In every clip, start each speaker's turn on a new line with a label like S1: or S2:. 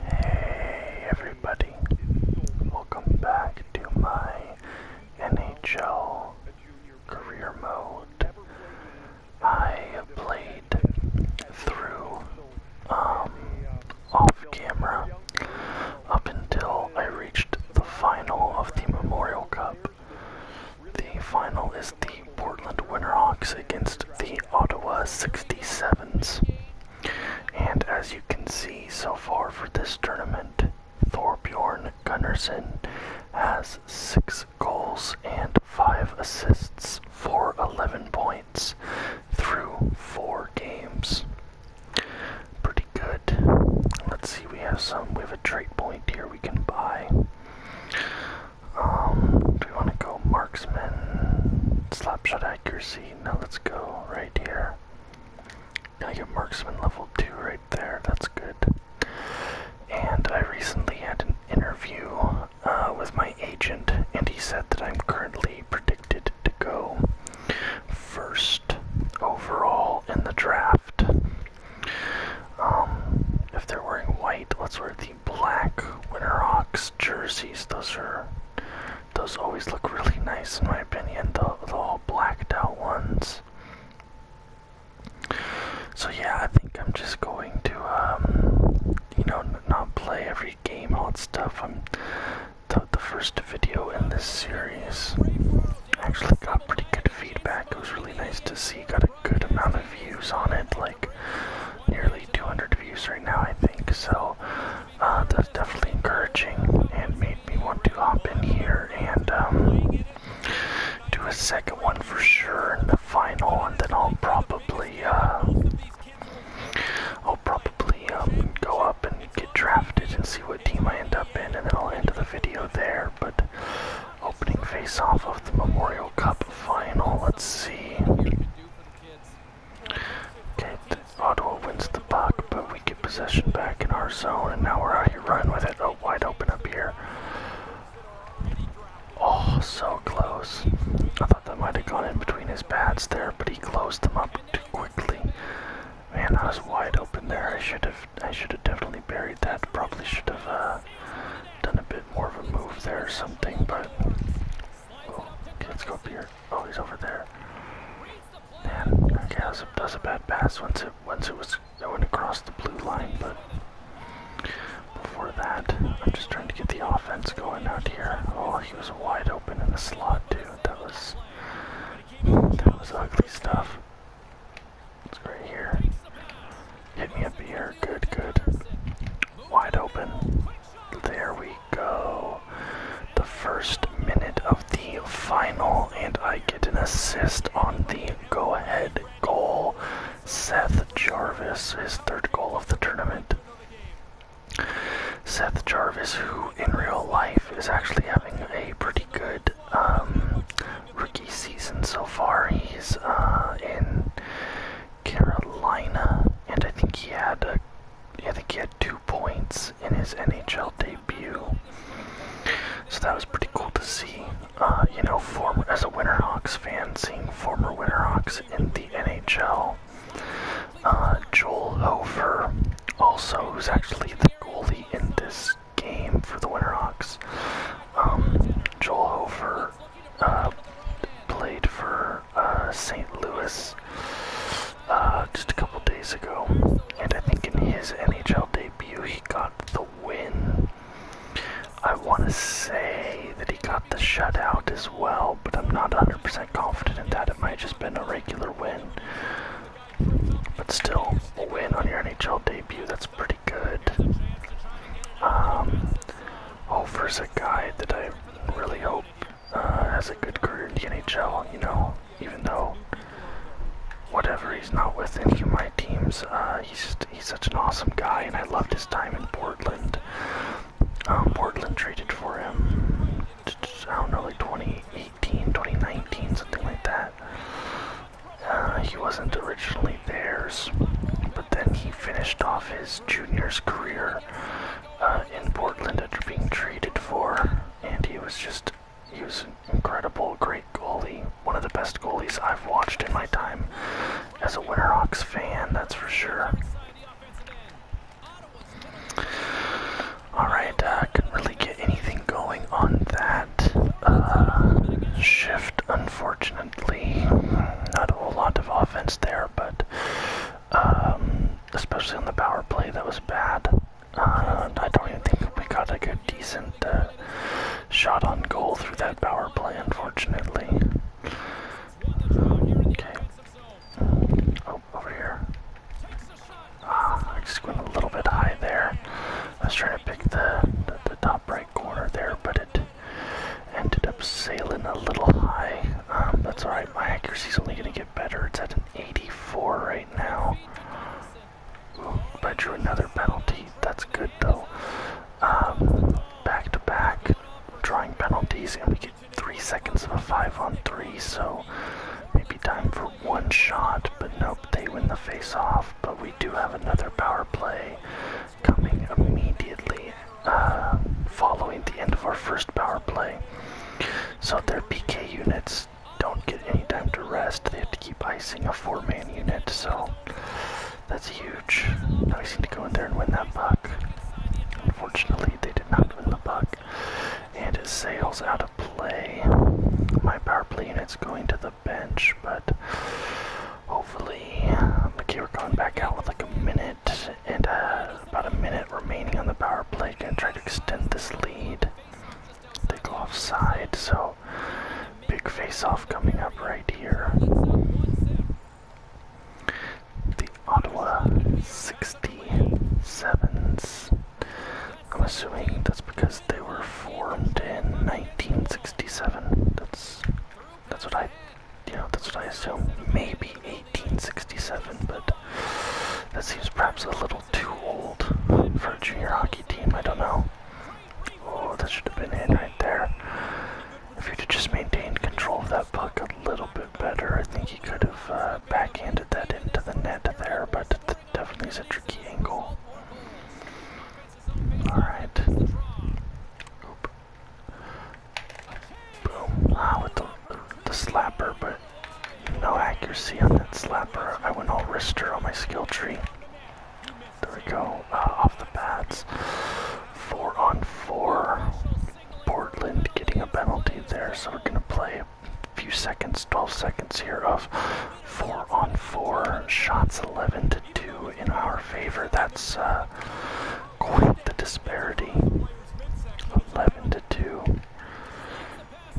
S1: Hey everybody, welcome back to my NHL career mode. I played through um, off camera up until I reached the final of the Memorial Cup. The final is the Portland Winterhawks against the Ottawa 67s. And as you can see so far for this tournament, Thorbjorn Gunnarsson has 6 goals and 5 assists for 11 points through 4 games. Pretty good. Let's see, we have some, we have a trade point here we can buy. Um, do we want to go marksman, slapshot accuracy? Now let's go right here. Now I get marksman level 2 right there, that's good. And I recently had an interview uh, with my agent, and he said that I'm currently predicted to go first overall in the draft. Um, if they're wearing white, let's wear the black Winterhawks jerseys. Those are those always look really nice in my opinion. The the all blacked out ones. So yeah, I think I'm just going to um, you know not play every game all stuff. I'm the, the first video in this series. Actually got pretty good feedback. It was really nice to see. Got a good amount of views on it, like nearly. 200 views right now, I think. So uh, that's definitely encouraging and made me want to hop in here and um, do a second one for sure and the final, and then I'll probably uh, I'll probably um, go up and get drafted and see what team I end up in, and then I'll end the video there. But opening face off of the Memorial Cup final, let's see. Okay, Ottawa wins the puck, but we get possession back in our zone, and now we're out here running with it. Oh, wide open up here. Oh, so close. I thought that might have gone in between his pads there, but he closed them up too quickly. Man, I was wide open there. I should have, I should have definitely buried that. Probably should have uh, done a bit more of a move there or something, but Oh, okay, let's go up here. Oh, he's over there. Man, okay, that was a, bad pass once it once it was going across the blue line, but before that, I'm just trying to get the offense going out here. Oh, he was wide open in the slot too. That was that was ugly stuff. It's right here. Hit me up here. Good, good. Wide open. There we go. The first minute of the final, and I get an assist on the go ahead goal. Seth Jarvis, his third goal of the tournament. Seth Jarvis, who in real life is actually having a pretty good um, rookie season so far. He's uh, in Carolina, and I think he had a yeah, I think he had two points in his NHL debut. So that was pretty cool to see. Uh, you know, former as a Winterhawks fan, seeing former Winterhawks in the NHL. Uh, Joel Hofer, also, who's actually the goalie in this game for the Winterhawks. Um, Joel Hofer uh, played for uh, St. Louis uh, just a couple days ago, and I think in his NHL debut he got the win. I want to say that he got the shutout as well, but I'm not 100% confident in that. It might have just been a regular win. But still, a win on your NHL debut, that's pretty good. Um, Hofer's oh, a guy that I really hope uh, has a good career in the NHL, you know, even though whatever he's not with any of my teams, uh, he's just, he's such an awesome guy, and I loved his time in Portland. Um, Portland traded for him, I don't know, like 2018, 2019, something like that. Uh, he wasn't originally theirs, but then he finished off his junior's career uh, in Portland after being traded for, and he was just he was an incredible, great goalie, one of the best goalies I've watched in my time as a Winterhawks fan, that's for sure. Alright, I uh, couldn't really get anything going on that uh, shift, unfortunately. Not a whole lot of offense there, but um, especially on the power play that was bad. Uh, I don't even think we got like a decent uh, shot on goal through that power play, unfortunately. Okay. Oh, over here. Ah, I just went a little bit high there. I was trying to pick the, the, the top right corner there, but it ended up sailing a little high. Um, that's alright. My accuracy is only gonna get better. It's at an 84 right now. I drew another penalty. That's good though. back to back, drawing penalties, and we get three seconds of a five on three, so maybe time for one shot, but nope, they win the face off. But we do have another power play coming immediately uh, following the end of our first power play. So their PK units don't get any time to rest. They have to keep icing a four-man unit, so that's huge. Now we seem to go in there and win that puck. Unfortunately, they did not win the puck, And it sails out of play. My power play unit's going to the bench, but hopefully, okay, we're going back out with like a minute and uh, about a minute remaining on the power play. Gonna try to extend this lead. They go offside, so big face-off coming up right here. The Ottawa 67s. I'm assuming that's because they were formed in 1967. That's that's what I yeah, that's what I assume. Maybe 1867, but that seems perhaps a little too old for a junior hockey team. I don't know. Oh, that should have been in right there. If you'd just maintained control of that puck a little bit better, I think he could have uh, backhanded that into the net there, but definitely is a tricky angle. Alright. Oop. Boom. Ah, with the, the slapper, but no accuracy on that slapper. I went all wrister on my skill tree. There we go. Uh, off the bats. Four on four. Portland getting a penalty there, so we're going to play a few seconds, 12 seconds here of four on four. Shots 11 to 2 in our favor. That's uh, quite the disparity. 11 to 2.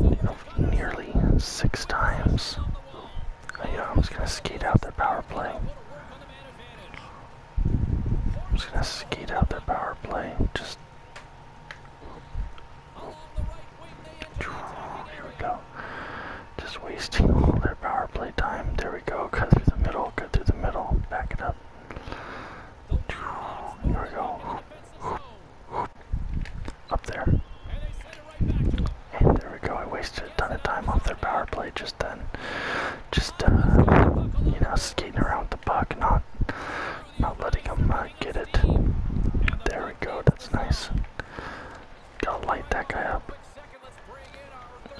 S1: You nearly six times. I, uh, I going to skate out their power play. I'm just going to skate out their power play. Just. Here we go. Just wasting all their power play time. There we go. Cut through the middle. Cut through the middle. Back it up. Here we go. Up there. And there we go. I wasted a ton of time off their power play just then. Just, uh, you know, skating around the puck, not, not letting them uh, get it. There we go. That's nice. Gotta light that guy up.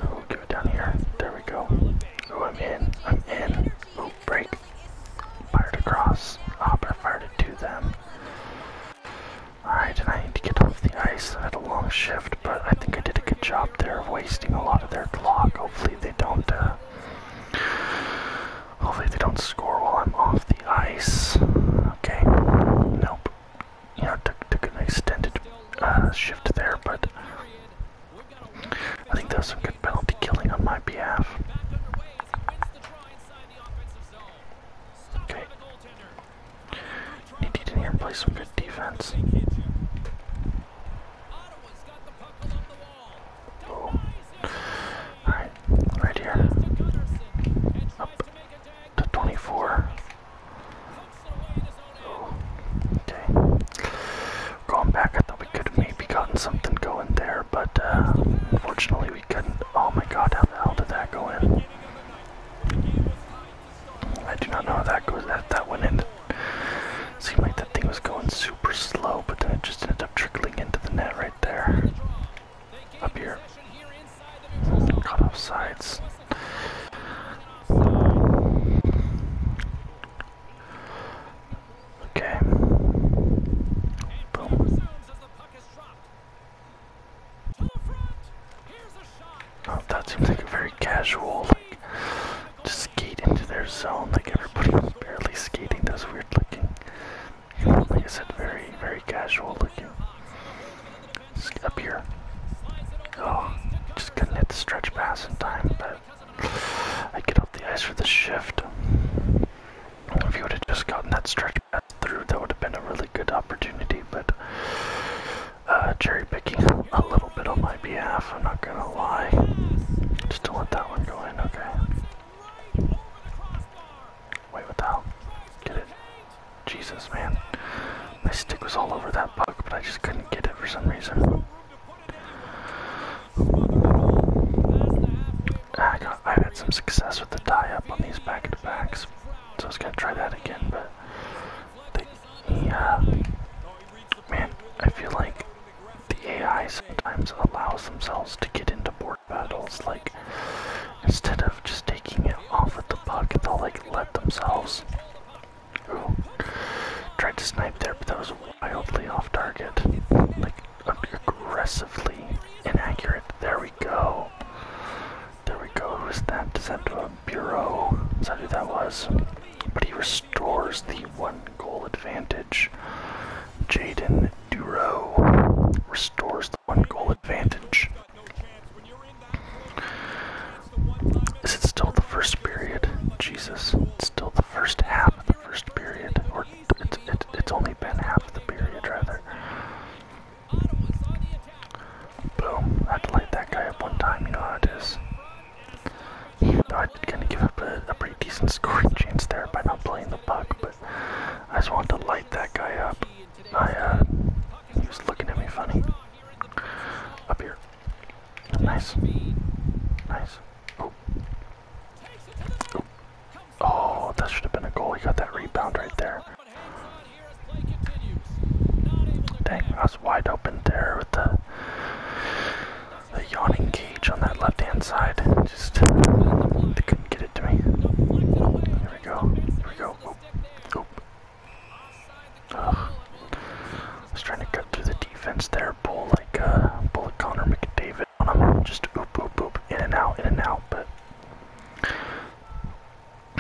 S1: Oh, give down here. There we go. Oh, I'm in. I'm in. Oh, break. Fired across. Hopper fired to them. Alright, and I need to get off the ice. I had a long shift, but I think I did a good job there of wasting a lot of their clock. Hopefully they don't, uh, hopefully they don't score while I'm off the ice. Okay, nope. You took, took an extended uh, shift there, but I think that was some good penalty killing on my behalf. Okay. Need to play some good defense. Oh. Alright, right here. Up to 24. Okay. Going back at the we could have maybe gotten something going there, but uh, unfortunately we couldn't. Oh my god, how the hell did that go in? I do not know how that goes. That, that went in. It seemed like that thing was going super slow, but then it just ended up trickling into the net right there. Up here. Cut off sides. Okay. Boom. Oh, that seems like a very casual, like, just skate into their zone. Like, everybody was barely skating. That weird looking. Like I said, very, very casual looking. up here. Oh, just couldn't hit the stretch pass in time, but I get off the ice for the shift. If you would have just gotten that stretch pass through, that would have been a really good opportunity, but uh, cherry picking a little bit on my behalf, I'm not gonna lie. Just to let that one go in, okay. Wait, what the hell? Get it? Jesus, man. My stick was all over that puck, but I just couldn't get it for some reason. I have had some success with the tie up on these back to backs, so I was gonna try that again. But the, yeah, uh, man, I feel like the AI sometimes allows themselves to get into board battles. Like instead of just taking it off at the puck, they'll like let themselves. tried to snipe there, but that was wildly off target. Like aggressively inaccurate. There we go. There we go. Who's that? Does that a bureau? Is that who that was? But he restores the one goal advantage. Jaden Duro restores the one goal advantage. Is it still the first period? Jesus, it's still the first half of the first period, it's, only been half of the period, rather. Boom. I had to light that guy up one time, you know it is. I did kind of give up a, pretty decent scoring chance there by not playing the puck, but I just wanted to light that guy up. I, uh, he was looking at me funny. Up here. Nice. Nice. Oh, that should have been a goal. He got that rebound right there. Dang, I was wide open there with the, the yawning cage on that left-hand side. Just they couldn't get it to me. Here we go. Here we go. Oop. Oop. Ugh. was trying to cut through the defense there pull like uh, pull like Connor McDavid on him, just oop oop oop, in and out, in and out, but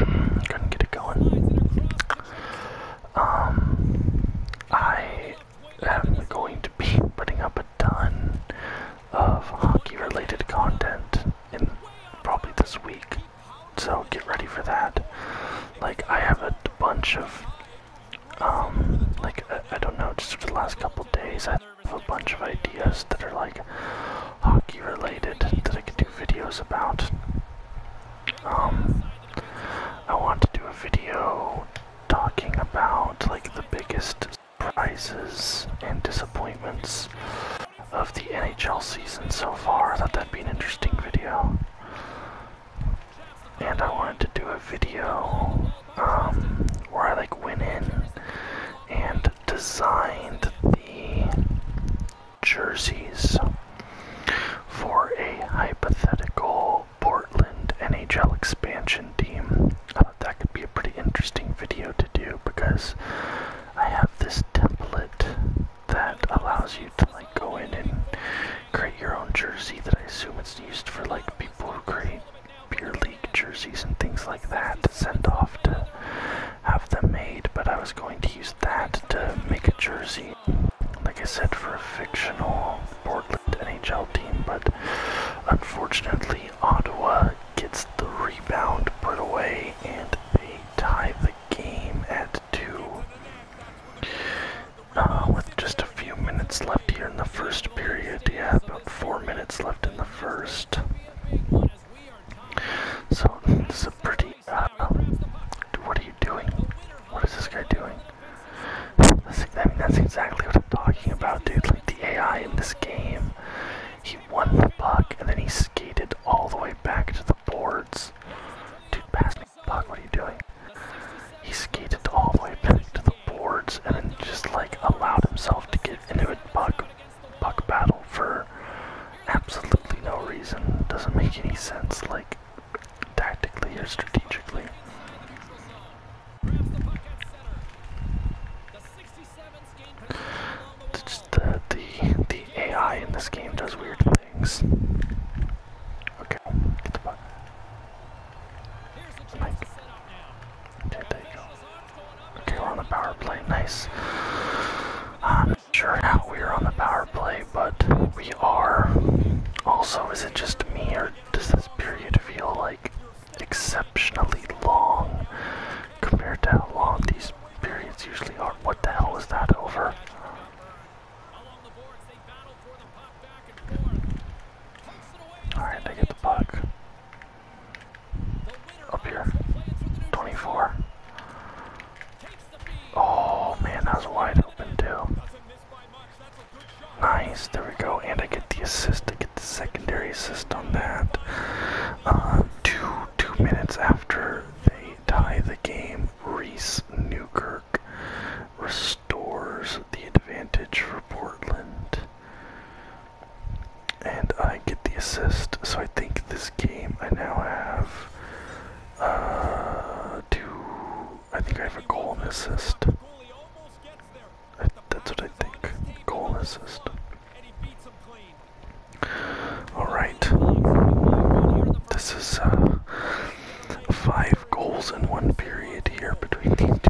S1: couldn't get it going. Um, I am going to be putting up a ton of hockey-related content in probably this week, so get ready for that. Like I have a bunch of um, like, I, don't know, just for the last couple days, I have a bunch of ideas that are like hockey related that I can do videos about. Um, I want to do a video talking about like the biggest surprises and disappointments of the NHL season so far. I thought that'd be an interesting video and I wanted to do a video um, where I like went in and designed the jerseys for a hypothetical Portland NHL expansion team. I thought that could be a pretty interesting video to do because I have this template that allows you to like go in and create your own jersey that I assume it's used for like people who create beer league jerseys and things like that to send off to have them made, but I was going to use that to make a jersey. Like I said, for a fictional Portland NHL team, but unfortunately, Ottawa gets the rebound put away and they tie the game at two. Uh, with just a few minutes left here in the first period, yeah, four minutes left in the first. So this is a pretty. Uh, um, what are you doing? What is this guy doing? I mean, that's exactly what I'm talking about, dude. Like the AI in this game, he won the puck and then he skated all the way back to the boards. Dude, pass me the puck. What are you doing? He skated all the way back to the boards and then just like allowed himself to get into a puck, puck battle for absolutely no reason. Doesn't make any sense, like tactically or strategically. Just the, the, the AI in this game does weird things. Okay, get the puck. There on the power play. Nice. I'm sure how we're on the power play, but we are. Also, is it just me, or does this period feel like exceptionally long compared to how long these periods usually are? What the hell is that over? Alright, they get the puck. Up here. 24. Oh man, that was wide open too. Nice, there we go. And I get the assist, I get the secondary assist on that. Uh, two, two minutes after they tie the game, Reese Newkirk Doors the advantage for Portland. And I get the assist, so I think this game I now have uh, two. I think I have a goal and assist. that's what I think. Goal and assist. Alright. This is uh, five goals in one period here between two.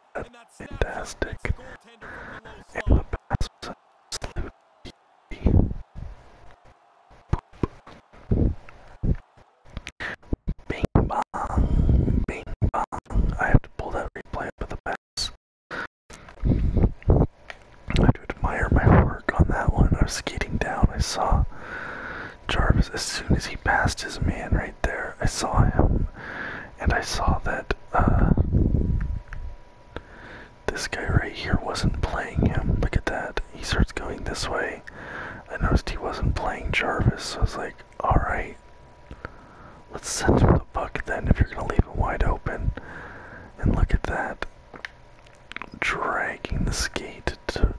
S1: That's fantastic. And the pass was absolutely Bing bang, bing bang. I have to pull that replay up the pass. I do admire my work on that one. I was skating down. I saw Jarvis as soon as he passed his man right there. I saw him, and I saw that uh, this guy right here wasn't playing him. Look at that. He starts going this way. I noticed he wasn't playing Jarvis, so I was like, alright, let's send him the puck." then if you're going to leave it wide open. And look at that. Dragging the skate to.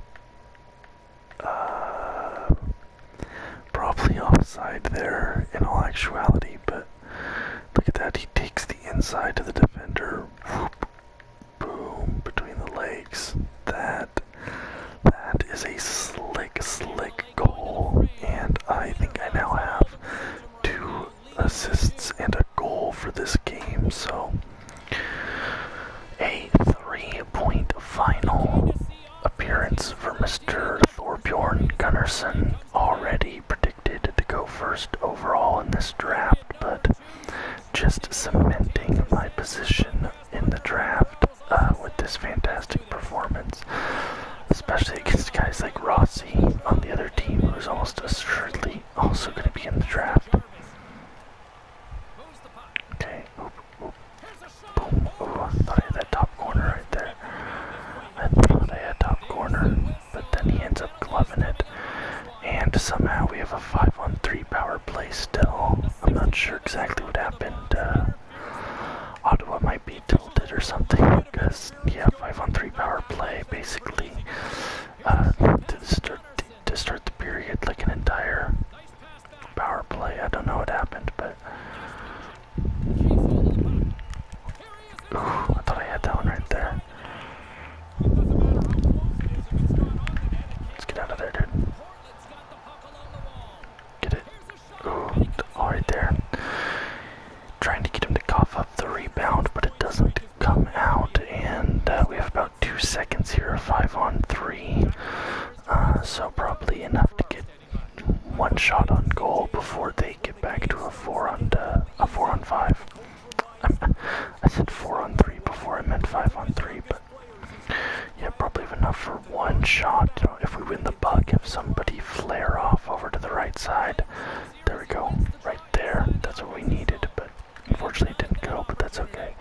S1: Uh, Probably offside there in all actuality, but look at that. He takes the inside to the defender. Whoop, boom, between the legs. That, that is a slick, slick goal. And I think I now have two assists and a goal for this game. So a three point final appearance for Mr. Thorbjorn Gunnarsson. Already predicted to go first overall in this draft, but just cementing my position in the draft uh, with this fantastic performance, especially against guys like Rossi on the other team, who's almost assuredly also going to be in the draft. Okay, oop, oop, boom, ooh, I thought I had that top corner right there. I thought I had top corner, but then he ends up gloving it. And somehow we have a 5 on 3 power play still. I'm not sure exactly what happened. Uh, Ottawa might be tilted or something, because, yeah, 5 on 3 power play basically uh, to start the period, like an entire power play. I don't know what happened, but I thought I had that one right there. Let's get out of there, dude. Get it. all right there. Trying to get him to cough up the rebound, but it doesn't come out. And uh, we have about two seconds here, five on three. Uh, so probably enough to get one shot on goal before they get back to a four on uh, a four on five. said four on three before I meant five on three, but yeah, probably enough for one shot. if we win the puck, if somebody flare off over to the right side, there we go, right there. That's what we needed, but unfortunately it didn't go. But that's okay.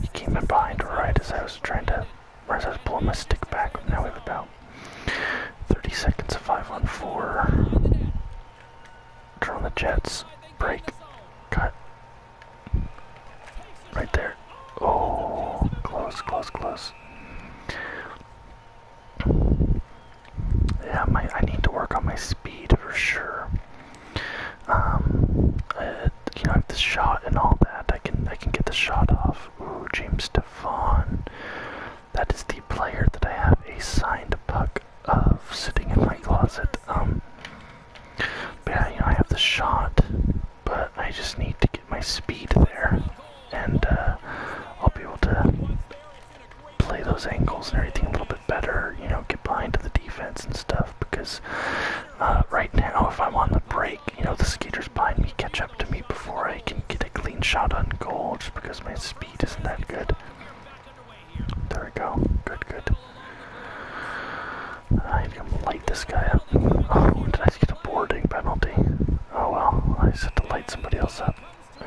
S1: he came in behind right as I Whereas I was pulling my stick back. Now we have about 30 seconds of 514. Turn the jets. Break. Cut. Right there. Oh, close, close, close. Yeah, my I need to work on my speed for sure. Um, uh, you know, this shot and all that. I can I can get the shot off. Ooh, James Devon. That is the player that I have a signed puck of sitting in my closet. Um, but yeah, you know, I have the shot, but I just need to get my speed there, and uh, I'll be able to play those angles and everything a little bit better. You know, get behind to the defense and stuff because uh, right now, if I'm on the break you know, the skaters behind me catch up to me before I can get a clean shot on goal just because my speed isn't that good. There we go. Good, good. I'm gonna light this guy up. Oh, did I just get a boarding penalty? Oh well, I just had to light somebody else up.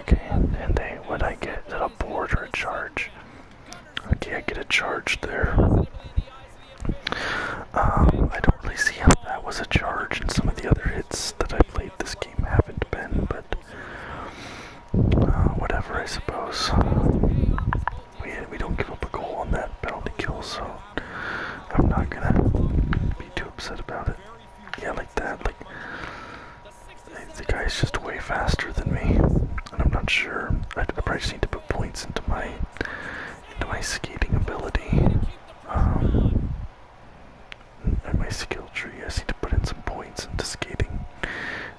S1: Okay, and, and they, what I get, that a board or a charge? Okay, I get a charge there. Um, I don't really see how that was a charge and some of the other hits that I played this game haven't been, but uh, whatever, I suppose. We, we don't give up a goal on that penalty kill, so I'm not gonna be too upset about it. Yeah, like that, like, the guy's just way faster than me, and I'm not sure. I, I probably just need to put points into my, into my skating ability. Um, and my skill tree. I need to put in some points into skating.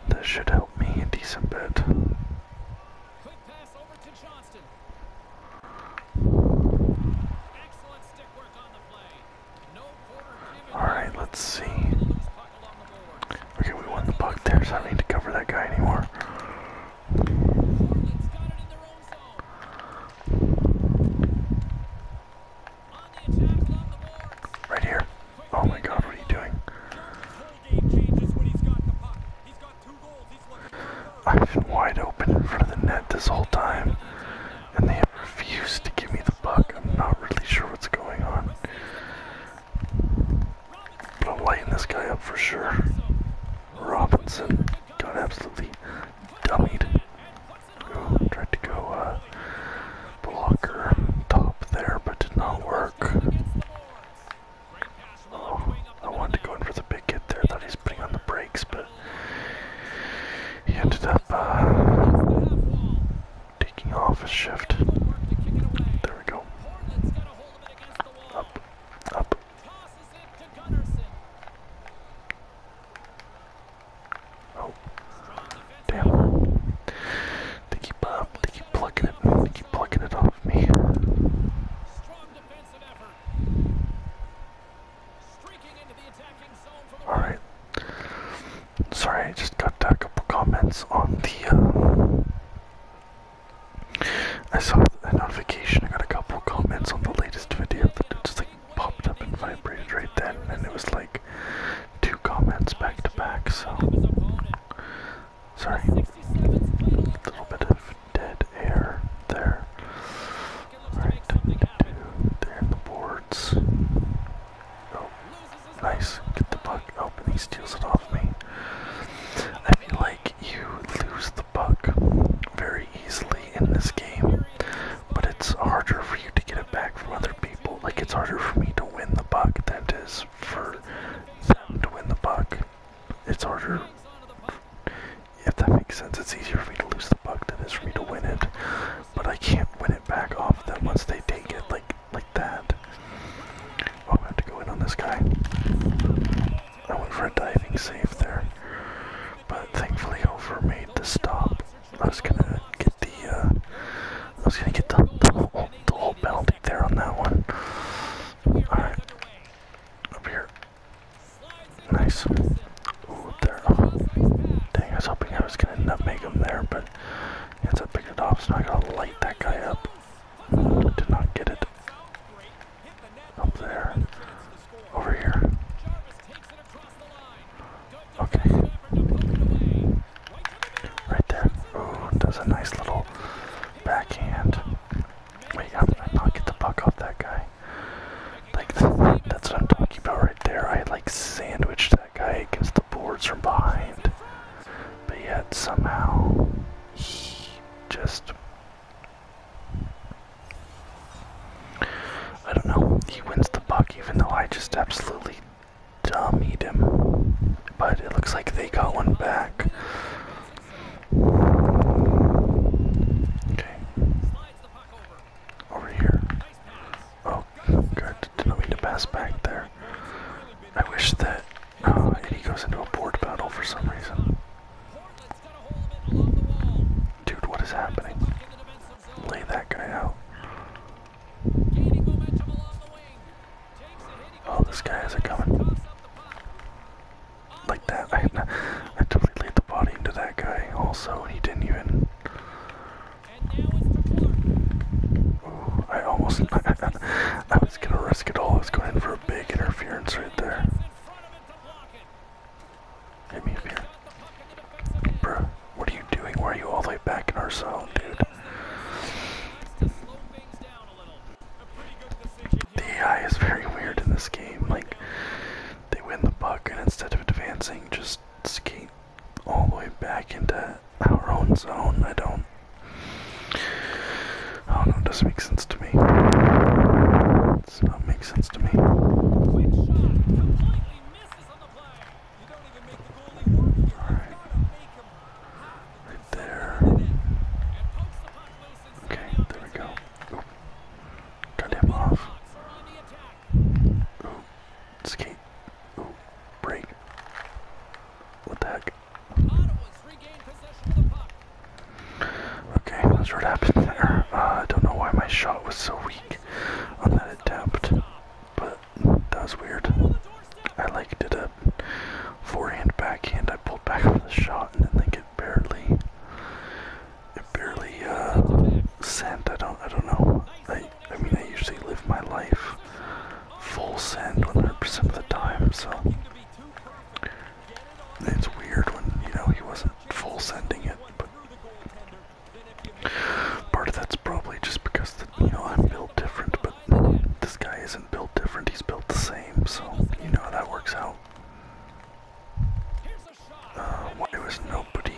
S1: That should help me a decent bit. Alright, let's see. Okay, we won the puck there, I don't need to cover that guy anymore. Right here. Oh my god, what are you doing? I've been wide open in front of the net this whole time, and they have refused to give me the puck. I'm not really sure what's going on. But I'm lighting this guy up for sure. Robinson got absolutely dummied. tried to go uh, blocker top there, but did not work. Oh, I wanted to go in for the big hit there. Thought he's putting on the brakes, but he ended up uh, taking off a shift. There we go. Up, up. Oh, damn. Uh, they keep, plucking it, they keep plucking it off me. Alright. Sorry, I just got a couple comments on the, uh, I saw a notification, I got a couple comments on the latest video popped up and vibrated right then, and it was like two comments back to back, so. Sorry. A little bit of dead air there. Alright, there in the boards. Oh, nice. Get the puck open. Oh, he steals it off me. I feel like you lose Buck very easily in this game, but it's harder for you to get it back from other people. Like, it's harder for me to win the buck than it is for them to win the buck. It's harder, if that makes sense, it's easier for me to lose the buck than it is for me to win it, but I can't win it back off them once they take it, like, like that. Oh, I have to go in on this guy. I went for a diving save there but thankfully over made the stop. I was gonna get the uh, I was gonna get the the whole, the whole penalty there on that one. All right, up here. Nice. Ooh, there. Oh. Dang, I was hoping I was gonna nutmeg him there, but ends up picking it off. So I gotta light that guy up. Did not get it up there. Over here. Okay. Right there. does a nice little backhand. Wait, how did I not get the puck off that guy? Like, that's what I'm talking about right there. I like sandwiched that guy against the boards from behind. But yet, somehow, he just I don't know. He wins the buck, even though I just absolutely dummied him. But it looks like they got one back. Okay. Over here. Oh, God, didn't mean to pass back there. I wish that uh, Eddie goes into a board battle for some reason. Dude, what is happening? Lay that guy out. Oh, this guy is it coming. Like that. I, I totally laid the body into that guy also, he didn't even. Ooh, I almost. I was gonna risk it all. I was going in for a big interference right there. Get me here. Bruh, what are you doing? Why are you all the way back in our zone, dude? The AI is very weird in this game. Like, they win the puck and instead of advancing, just skate all the way back into our own zone. I don't. I don't know, it doesn't make sense to me sense. That makes sense to me. Right there. Okay, there we go. Oop. him off. Skate. Break. What the heck? Okay, that's what happened there. Uh, I don't know why my shot was so weak on that attempt, but that was weird. I liked it. a forehand backhand. I pulled back from the shot, and then they get barely, it barely uh, sent. I don't, I don't know. I, I mean, I usually live my life full send 100% of the time, so it's weird when you know he wasn't full sending it, Part of that's probably just because, you know, I'm built different, but this guy isn't built different, he's built the same, so you know how that works out. Uh, why was nobody...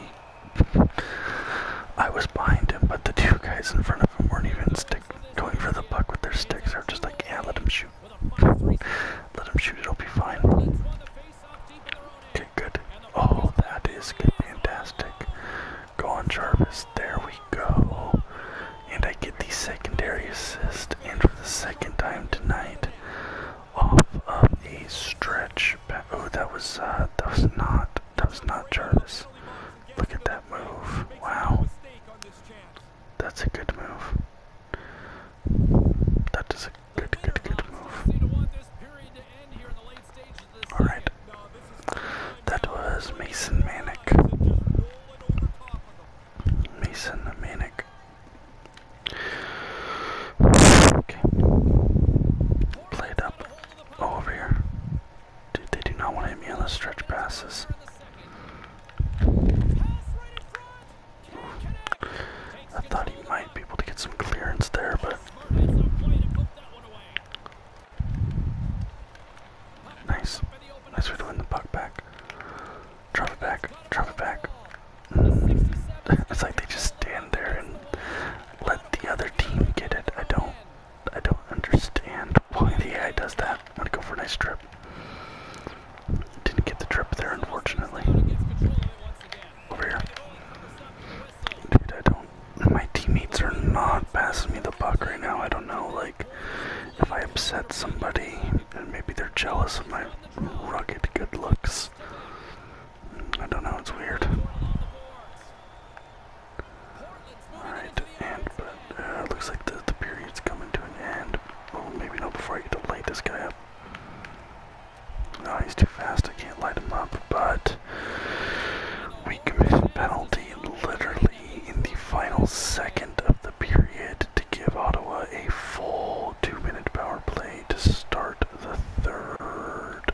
S1: I was behind him, but the two guys in front of him weren't even stick going for the buck with their sticks. They are just like, yeah, let him shoot. let him shoot, it'll be fine good. Oh, that is good. Fantastic. Go on, Jarvis. There we go. And I get the secondary assist, and for the second time tonight, off of a stretch Oh, that was uh, that was not that was not Jarvis. Look at that move. Wow. That's a good move. That is a good, good, good, move. Alright. That was Mason Manic. Mason Manic. Okay. Played up. Oh, over here. Dude, they do not want to hit me on the stretch passes. I thought he might be able to get some clearance there, but. Nice. Nice way to win the puck back. Drop it back. Drop it back. it's like they just stand there and let the other team get it. I don't I don't understand why the AI does that. I'm to go for a nice trip. Didn't get the trip there unfortunately over here. Dude, I don't. My teammates are not passing me the buck right now. I don't know, like, if I upset somebody, and maybe they're jealous of my rugged good looks. I don't know, it's weird. Alright, and, but, uh, looks like the, the period's coming to an end. Oh, maybe not before I get to light this guy up. No, he's too fast. I can't light him up. But we commit a penalty literally in the final second of the period to give Ottawa a full two minute power play to start the third.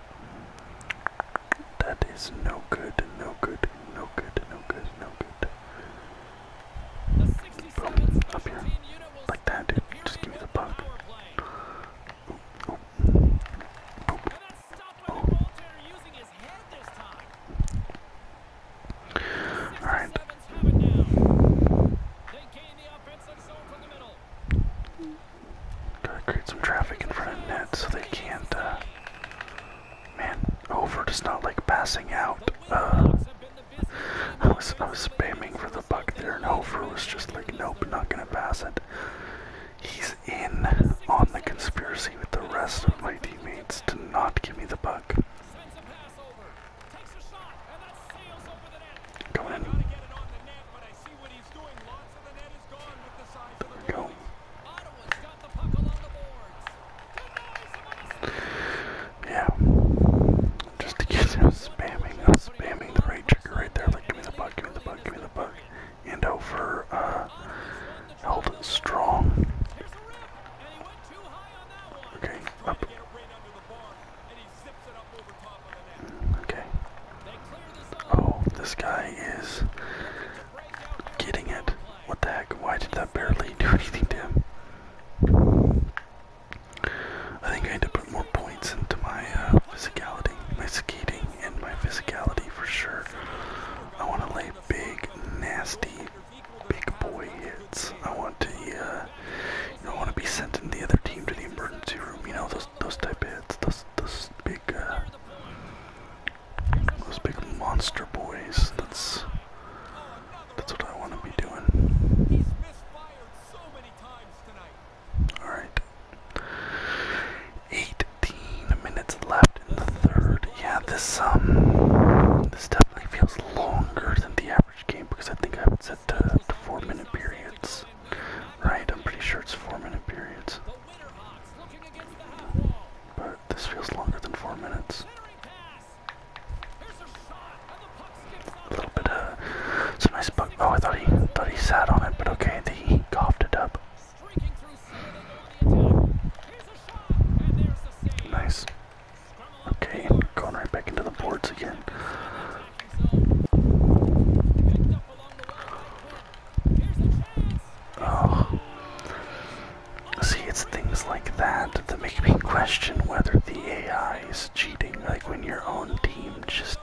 S1: That is no good, no good, no good, no good, no good. up here. Like that, dude. Just give me the puck. Alright. Gotta create some traffic in front of net so they can't, uh, man, over does not like passing out. Uh, I was, I was spamming for the buck there and over was just like, nope, not gonna pass it he's in on the conspiracy with the rest of my teammates to not give me the puck. Go in. There we go. Yeah. Just to get him spamming us Bamming the right trigger right there. Like, give me the bug, give me the bug, give me the bug. And over, for uh, held strong. Okay, up. Okay. Oh, this guy is getting it. What the heck? Why did that barely do anything to I think I need to put more points into my uh, physicality, my skating, and my physicality for sure. I want to lay big, nasty, big boy hits. I want to, uh, you know, want to be sending the other team to the emergency room. You know, those those type of hits, those those big, uh, those big monster boys. That's that's what I want to be doing. All right. 18 minutes left in the third. Yeah, this um, this definitely feels longer than the average game because I think I have set to, to four-minute periods. Right, I'm pretty sure it's four-minute periods. But this feels longer than four minutes. A little bit of it's some nice bug. Oh, I thought he thought he sat on it, but okay, he coughed it up. Nice. Okay, and going right back into the boards again. Oh. See, it's things like that that make me question whether the AI is cheating. Like when your own team just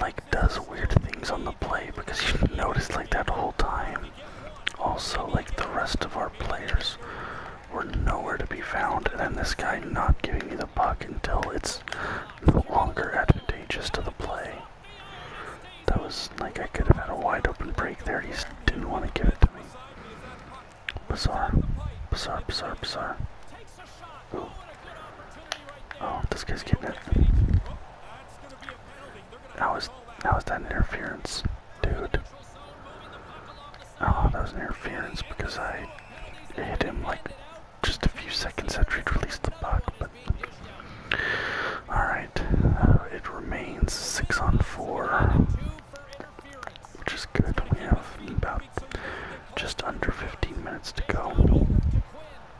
S1: like does weird things on the play because you notice like that whole time. Also, like the rest of our players were nowhere to be found, and then this guy not giving me the puck until it's the longer advantageous to the play. That was like I could have had a wide open break there. He just didn't want to give it to me. Bizarre, bizarre, bizarre, bizarre. Oh, this guy's getting it. How is, how is that interference, dude? Oh, that was an interference because I hit him like just a few seconds after he'd released the puck, but alright. Uh, it remains six on four. Which is good. We have about just under 15 minutes to go.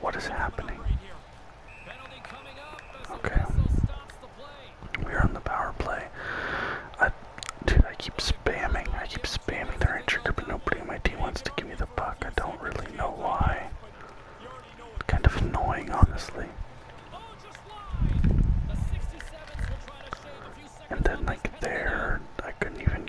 S1: What is happening? Okay. We're on the power play. dude, I keep spamming. I keep spamming the right trigger, but nobody on my team wants to give me the puck. I don't really know why. kind of annoying, honestly. And then, like, there, I couldn't even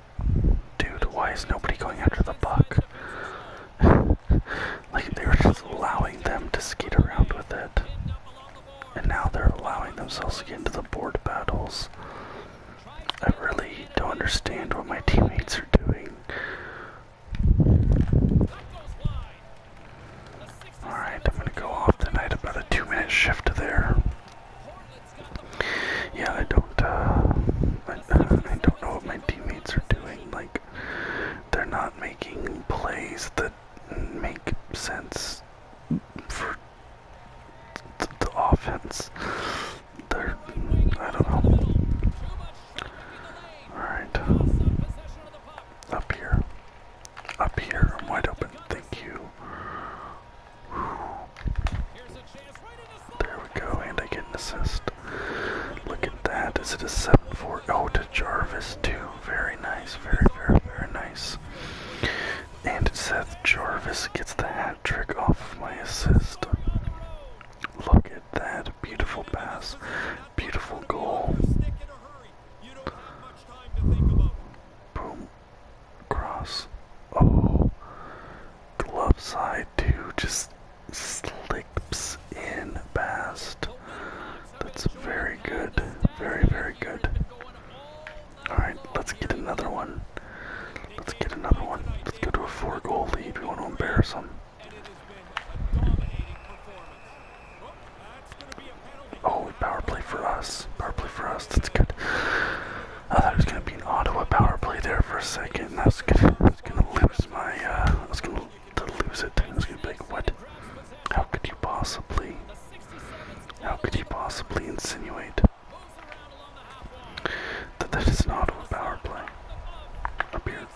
S1: dude, why is nobody going after the buck? like they were just allowing them to skate around with it. And now they're allowing themselves into the board battles. I really don't understand what my teammates are doing. Alright, I'm gonna go off tonight about a two minute shift there. Yeah, I don't. Uh, I, don't know what my teammates are doing. Like, they're not making plays that make sense for the offense. They're. I don't know. All right. Up here. Up here. I'm wide open. Thank you. There we go, and I get an assist. Look at that. Is it a 7 4? Oh, to Jarvis, Two, Very nice. Very, very, very nice. And Seth Jarvis gets the hat trick off of my assist. Look at that. Beautiful pass. Beautiful goal. Boom. Cross. Oh glove side too just slips in past. That's very good. Very, very good. Alright, let's get another one. Let's get another one. Let's go to a four goal lead. We want to embarrass them. Oh, power play for us. Power play for us. That's good. I thought it was gonna be an Ottawa power play there for a second, and I was gonna, lose my, uh, I was gonna lose it. I was gonna be what? How could you possibly, how could you possibly insinuate that that is an Ottawa power play? Up here,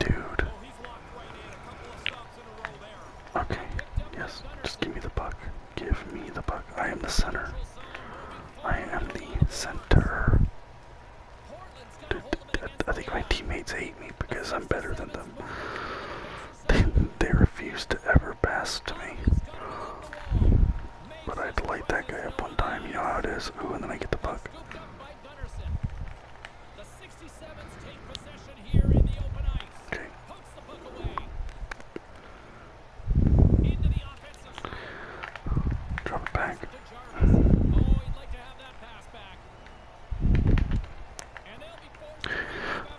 S1: dude. Okay, yes, just give me the puck. Give me the puck. I am the center. I am the center. I think my teammates hate me because I'm better than them. They, refuse to ever pass to me. But i light that guy up one time, you know it is. Ooh, and then I get the puck. Drop back.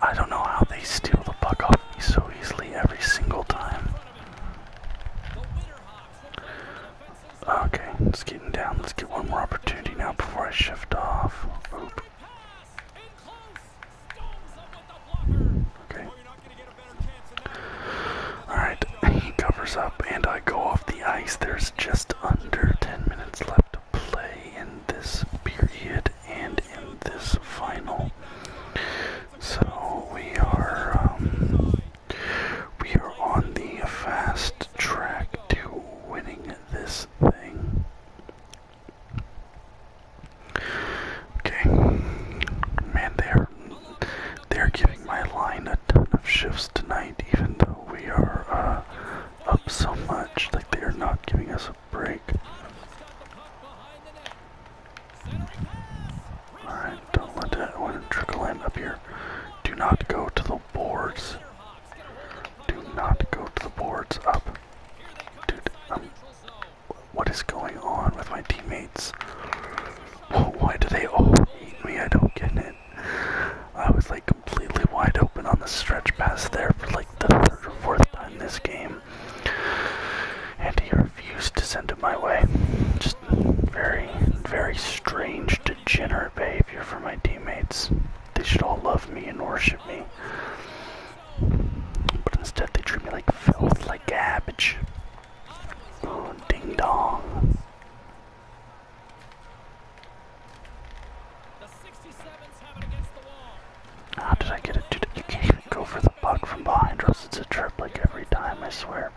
S1: I don't know how they steal the puck off me so easily every single time. Okay, it's getting down. Let's get one more opportunity now before I shift off. Okay. Alright, he covers up and I go off the ice. There's just under 10 minutes left to play in this period and in this final. So we are um, we are on the fast track to winning this thing. Okay. Man, they are they're giving my line a ton of shifts tonight, even though we are uh, up so much. Like they are not giving us a break. Alright, don't let that one trickle in up here. Do not go to the boards. Do not go to the boards up. Dude, um, what is going on with my teammates? Why do they all eat me? I don't get it. I was like completely wide open on the stretch pass there for like the third or fourth time this game. And he refused to send it my way. Just very, very strange, degenerate behavior from my teammates. They should all love me and worship me. But instead they treat me like filth, like garbage. Oh, ding dong. How did I get it? Dude, you can't even go for the puck from behind us. It's a trip like every time, I swear.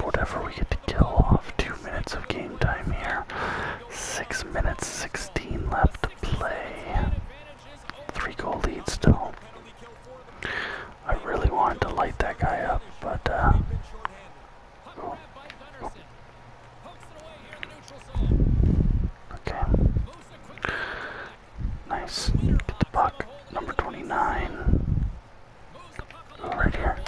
S1: Whatever we get to kill off. Two minutes of game time here. Six minutes, 16 left to play. Three goal lead still. I really wanted to light that guy up, but uh Okay. Nice. Get the puck. Number 29. Ooh, right here.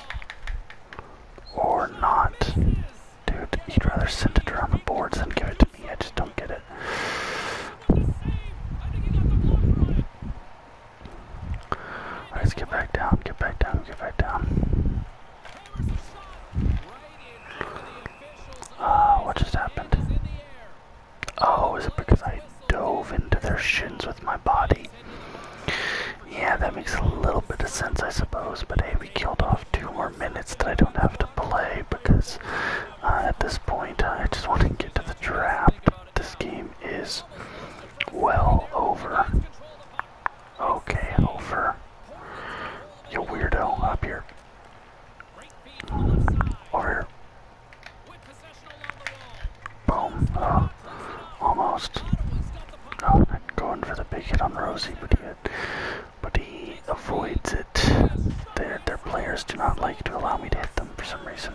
S1: Or not. Dude, you'd rather send it around the boards than give it to me. I just don't get it. Let's get back down, get back down, get back down. Ah, what just happened? Oh, is it because I dove into their shins with my body? Yeah, that makes a little bit of sense, I suppose, but hey, we killed off two more minutes that I don't have to play because uh, at this point I just want to get to the draft this game is well over. Okay, over. You weirdo, up here. Over here. Boom. Uh, almost. Oh, I'm going for the big hit on Rosie, but he, but he avoids it. Their, their players do not like to allow me to hit them for some reason.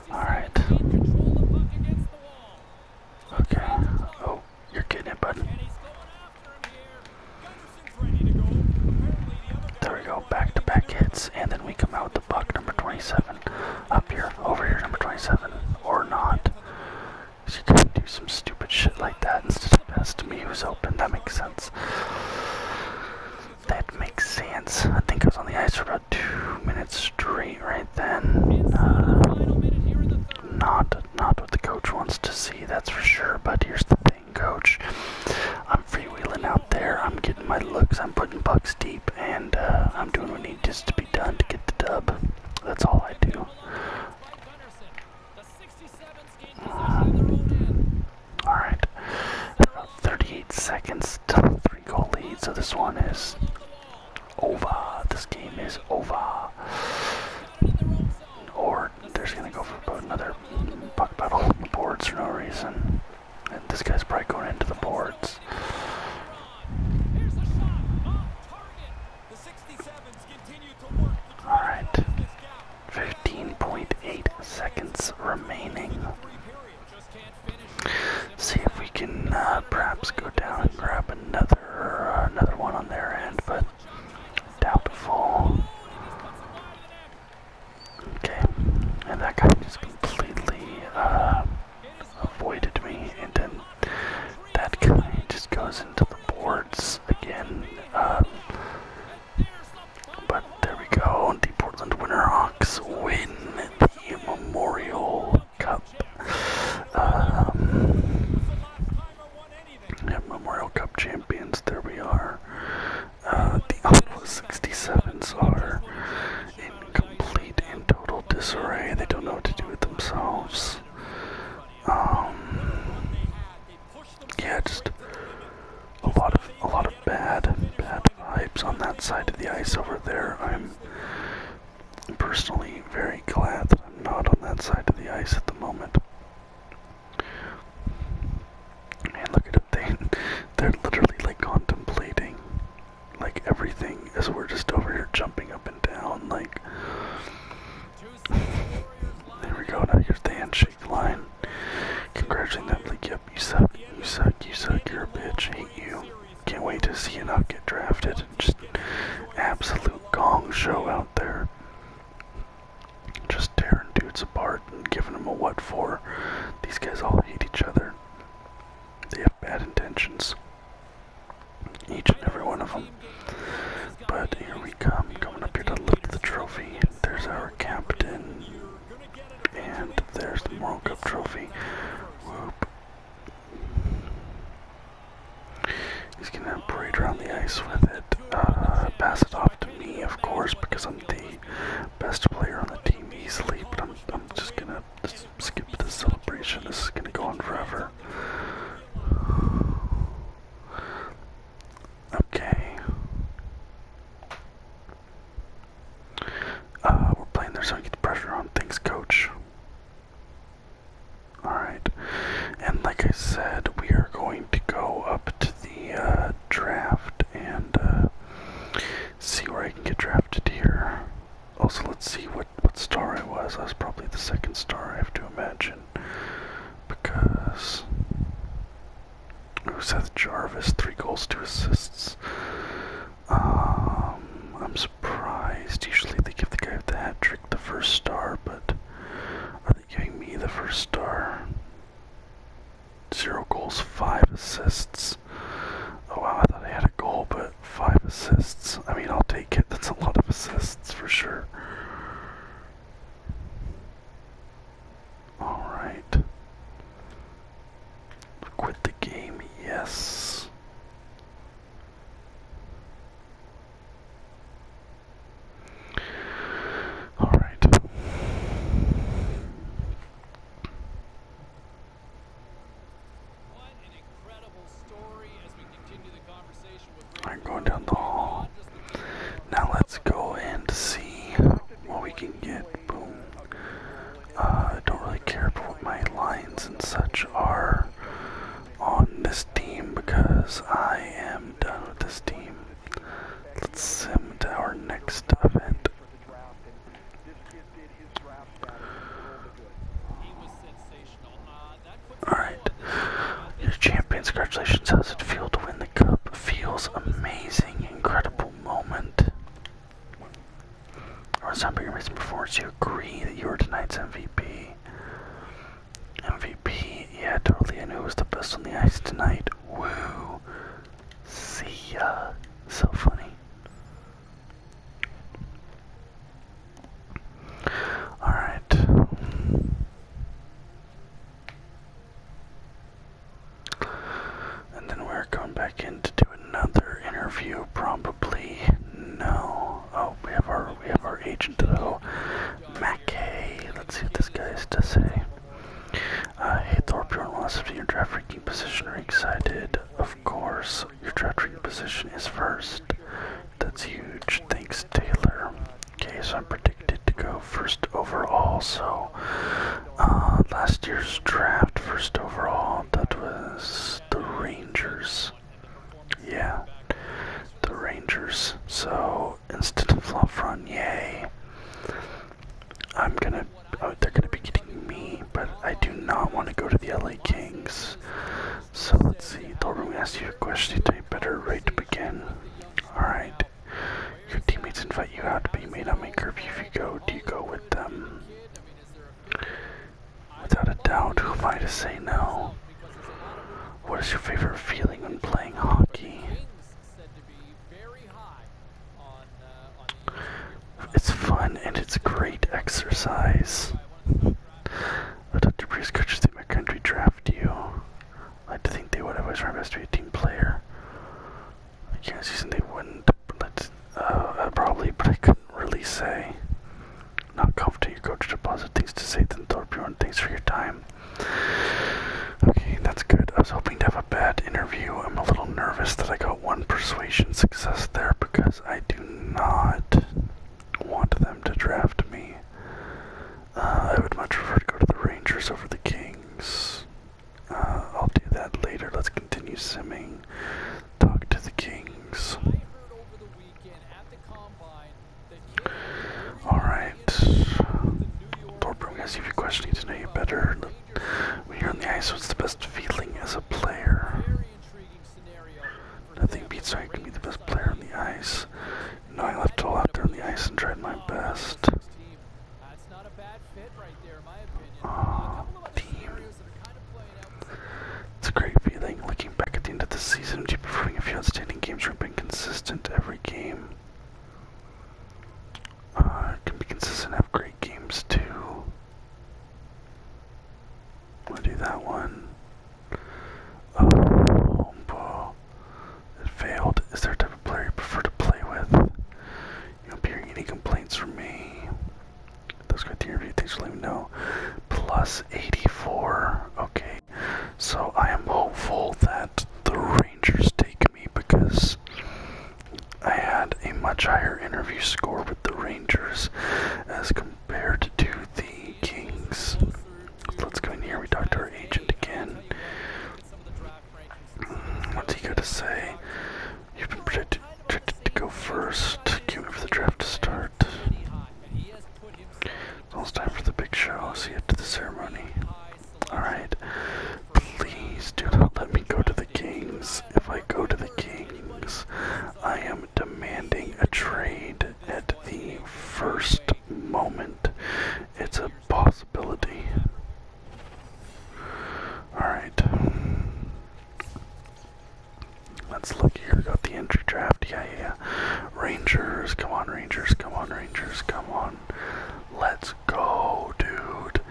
S1: Alright. Okay. Oh, you're kidding, it, bud. There we go. Back to back hits. And then we come out with the buck number 27. Up here. Over here, number 27. Or not. You can do some stupid shit like that instead of pass me who's open. That makes sense. That makes sense. I think I was on the ice for about two minutes straight, right? then. Uh, not not what the coach wants to see, that's for sure. But here's the thing, coach. I'm freewheeling out there. I'm getting my looks. I'm putting bucks deep, and uh, I'm doing what needs to be done to get the dub. That's all I do. Uh, all right. About 38 seconds it's three goal lead, so this one is over. This game is over. Or they're just gonna go for another puck battle on the boards for no reason. And this guy's probably going into the boards. Alright. 15.8 seconds remaining see if we can uh, perhaps go down and grab another uh, another one on their end, but doubtful. Okay, and that guy just completely uh, avoided me, and then that guy just goes into the boards again. Uh, but there we go, the Portland Winterhawks win the Memorial Cup. Um, Memorial Cup champions, there we are. Uh, the Aqua 67s are in complete and total disarray. They don't know what to do with themselves. Um, yeah, just a lot of a lot of bad, bad vibes on that side of the ice over there. I'm personally very glad that I'm not on that side of the ice at the moment. Man, look at it. They, are literally like contemplating like everything as we're just over here jumping up and down. Like, there we go. Now here's handshake line. Congratulating them, yep, you suck, you suck, you suck, you're a bitch, you. Can't wait to see Enoch get drafted. Just absolute gong show out there. Just tearing dudes apart and giving them a what for. These guys all hate each other. They have bad intentions. Each and every one of them. But here we come, coming up here to lift the trophy. There's our captain. And there's the World Cup trophy. Whoop, He's gonna parade around the ice with it. Uh, pass it off to me, of course, because I'm the best player on the team easily. But I'm, just gonna skip the celebration. This is gonna go on forever. Okay. Uh, we're playing there so I get the pressure on things, coach. Alright. And like I said, we are going to go up to the uh, draft and uh, see where I can get drafted here. Also, let's see what, what star I was. I was probably the second star, I have to imagine. Because. Ooh, Seth Jarvis, three goals, two assists. Um, I'm surprised. Usually they give the guy with the hat trick the first star, but are they giving me the first star? Zero goals, five assists. Oh wow, I thought I had a goal, but five assists. I mean, I'll take it. That's a lot of assists for sure. Alright. Quit the game, yes. All right. All right, going down the hall. Now let's go and see what we can get. Boom. Uh, I don't really care for what my lines and such are on this team because I am done with this team. Let's sim to our next event. Alright. Your champions, congratulations. How's it feel to win the cup? Feels amazing, incredible moment or something your reason performance you agree that you were tonight's MVP. MVP, yeah, totally. I knew it was the best on the ice tonight. Woo. See ya. So funny. Alright. And then we're going back in another interview probably. No. Oh, we have our we have our agent though. Mackay. Let's see what this guy has to say. Uh, hey Thorpe, you're on last your position. Are you excited? Of course. Your draft position is first. That's huge. Thanks, Taylor. Okay, so I'm predicted to go first overall. So uh, last year's draft, first overall, that was the Rangers. Yeah, the Rangers. So instead of Lafreniere, I'm gonna. Oh, they're gonna be getting me, but I do not want to go to the LA Kings. So let's see. Thorburn asked you a question. You better rate to begin. All right. Your teammates invite you out, to be made not make curfew if you go. Do you go with them? Without a doubt, who am I to say no? What is your favorite feeling when playing hockey? It's fun and it's great exercise. the Dr. Breeze coaches in my country draft you. I would think they would. have always tried best to be a team player. I can't see they wouldn't. Uh, probably, but I couldn't really say. Not comfortable, You go to deposit. things to Satan Thorpe, you and things for your time. Okay, that's good. I was hoping to have a bad interview. I'm a little nervous that I got one persuasion success there because I do not want them to draft me. Uh, I would much prefer to go to the Rangers over the Kings. Uh, I'll do that later. Let's continue simming. Talk to the Kings. Alright. Thorburn, if you're questioning to know you better, when are on the ice, what's the best feeling as a player? Nothing beats how you be the best player on the ice. You I left it all on the ice and tried my best. It's a great feeling. Looking back at the end of the season, you performing a few outstanding games where being consistent every game. Uh, can be consistent, have great games too. We'll do that one. Oh, ball. It failed. Is there a type of player you prefer to play with? You don't hear any complaints from me. Those got the interview things let me know. Plus 84. Okay. So I am hopeful that the Rangers take me because I had a much higher interview score with the Rangers as compared to the Kings. Let's go in here. We talk to our agent again. Mm, what's he got to say? You've been predicted to go first, queuing for the draft to start. Almost time for the big show, see you to the ceremony. Alright, please do not let me go to the Kings. If I go to the Kings, I am demanding a trade at the first moment. It's a possibility. Alright. Let's look here. Got the entry draft. Yeah, yeah, yeah. Rangers. Come on, Rangers. Come on, Rangers. Come on. Let's go, dude.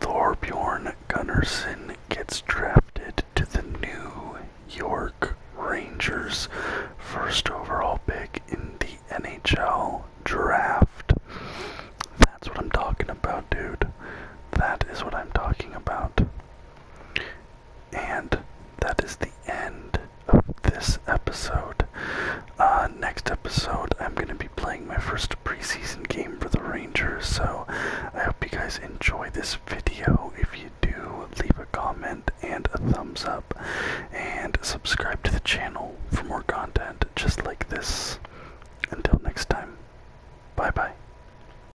S1: Thorbjorn Gunnarsson gets drafted to the New York Rangers. First overall pick in the NHL draft. That's what I'm talking about, dude. That is what I'm talking about. And that is the end of this episode. Uh, next episode, I'm going to be playing my first preseason game for the Rangers, so I hope you guys enjoy this video. If you do, leave a comment and a thumbs up, and subscribe to the channel for more content just like this. Until next time, bye bye.